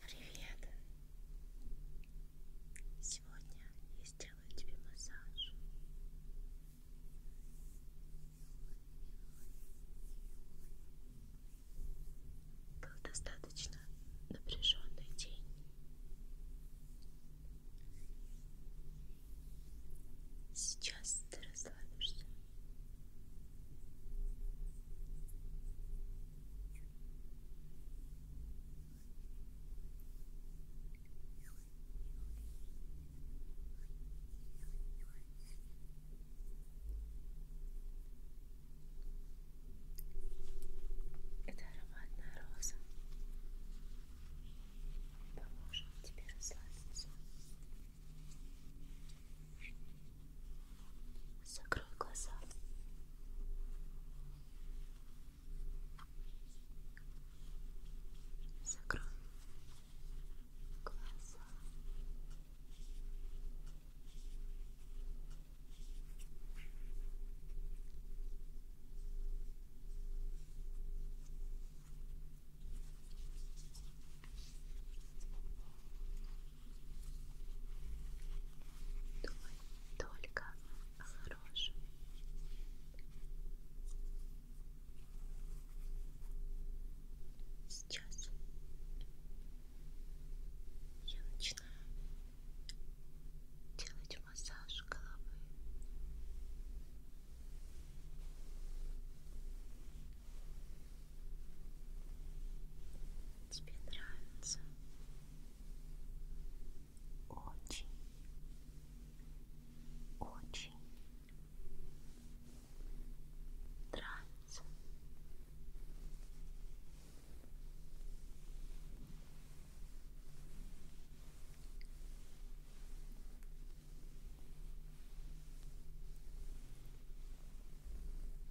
Привет! Сегодня я сделаю тебе массаж. Был достаточно напряженный день. Сейчас ты расслабишься. Эта ароматная роза поможет тебе расслабиться. Закрой глаза. Закрой глаза. Закрой глаза. Думай только о хорошем. Сейчас я начинаю делать массаж головы. Тебе нравится? Очень, очень нравится. Нравится.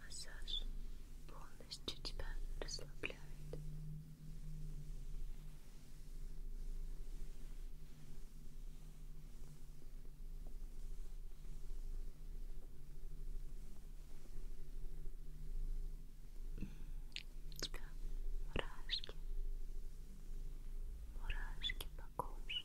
Массаж полностью тебя расслабляет. У тебя мурашки, мурашки по коже.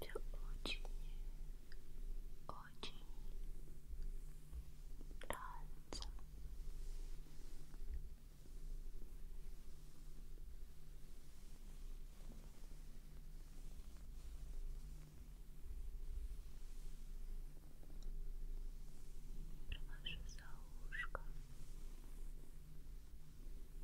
就 очень, очень нравится. Провожу за ушко. Провожу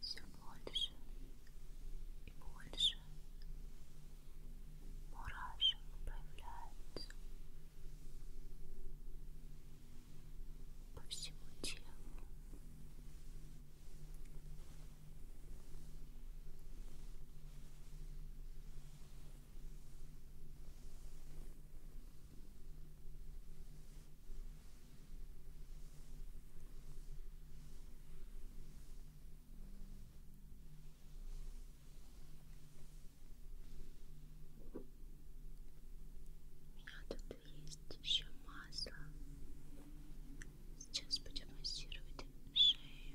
Все больше и больше мурашек появляется по всему телу. У а меня тут есть еще масло Сейчас будем массировать шею.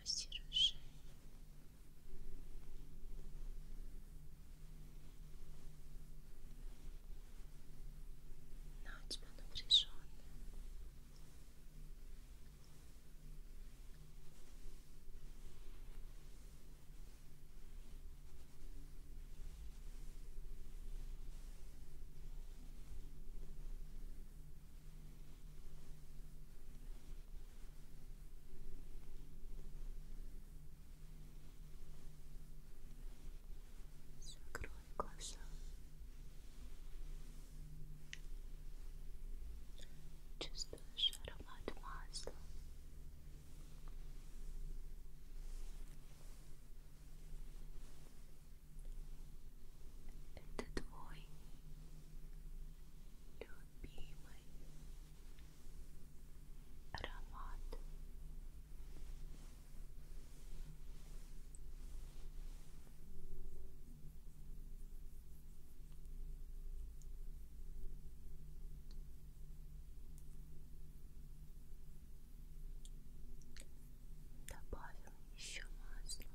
массируешь шею. Она у тебя напряженная. Ты So growing closer. Just a shadow light mask. Это твой любимый аромат. Добавим еще масло. Добавим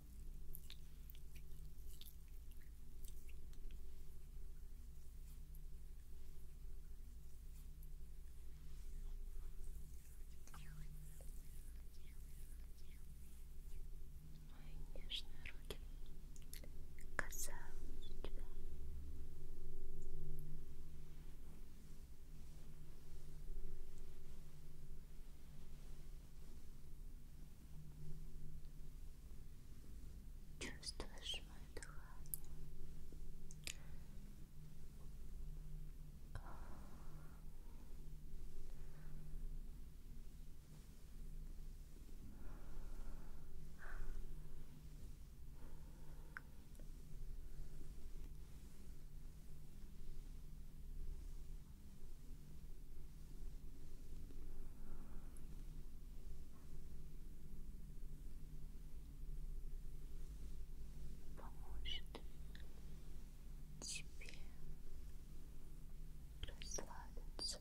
Мои нежные руки касаются тебя. Твои Чувствуешь мое дыхание? поможет тебе расслабиться.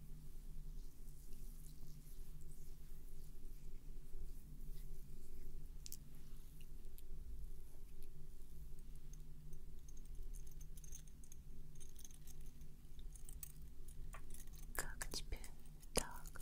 Как тебе так?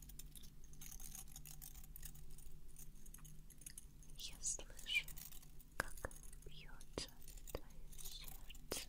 Я слышу, как бьется твое сердце.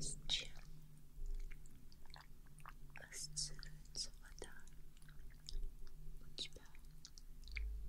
С чем ассоциируется вода у тебя? С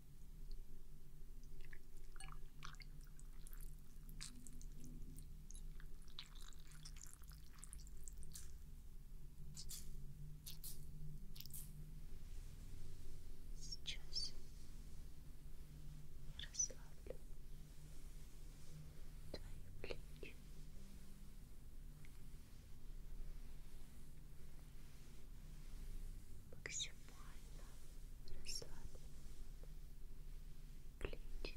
Сейчас расслаблю твои плечи. Максимально расслабь плечи. Расслабь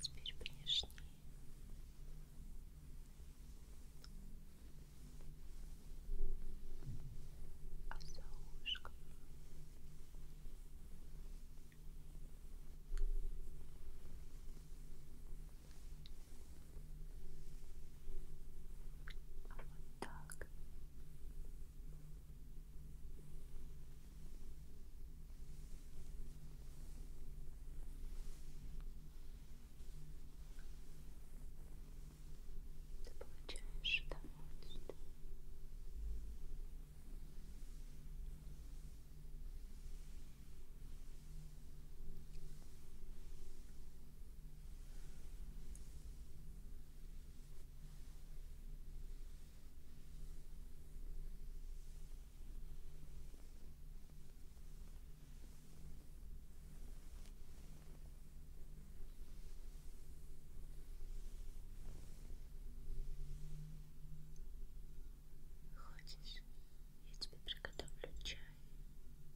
Теперь внешний. А за ушком. А вот так. Ты получаешь удовольствие. Хочешь, я тебе приготовлю чай?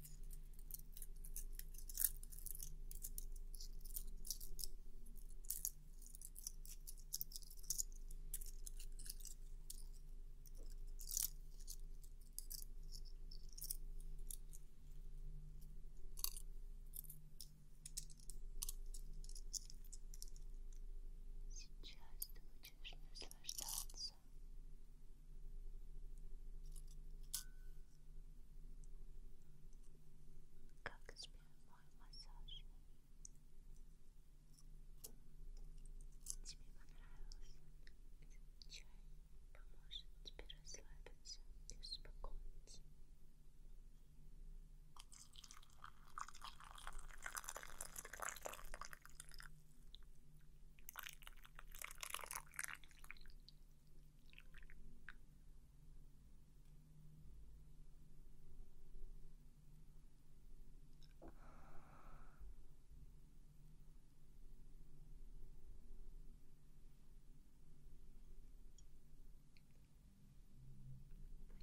Сейчас ты будешь наслаждаться. Тем, как тебе мой массаж? Тебе понравился? Чай поможет тебе расслабиться и успокоиться.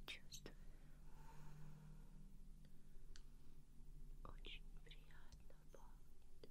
Почувствую. Очень приятно пахнет.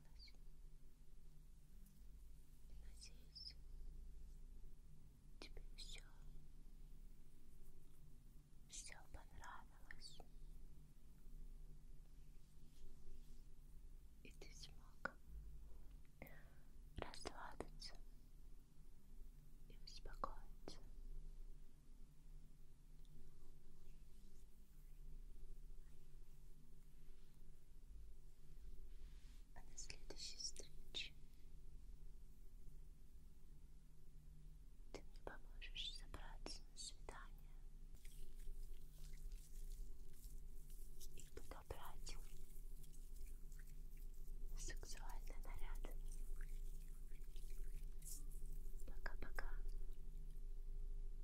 осталось. Надеюсь, тебе все, все понравилось. И ты смог расслабиться и успокоиться. А до следующей встречи ты мне поможешь собраться на свидание и подобрать сексуальный наряд. Пока-пока.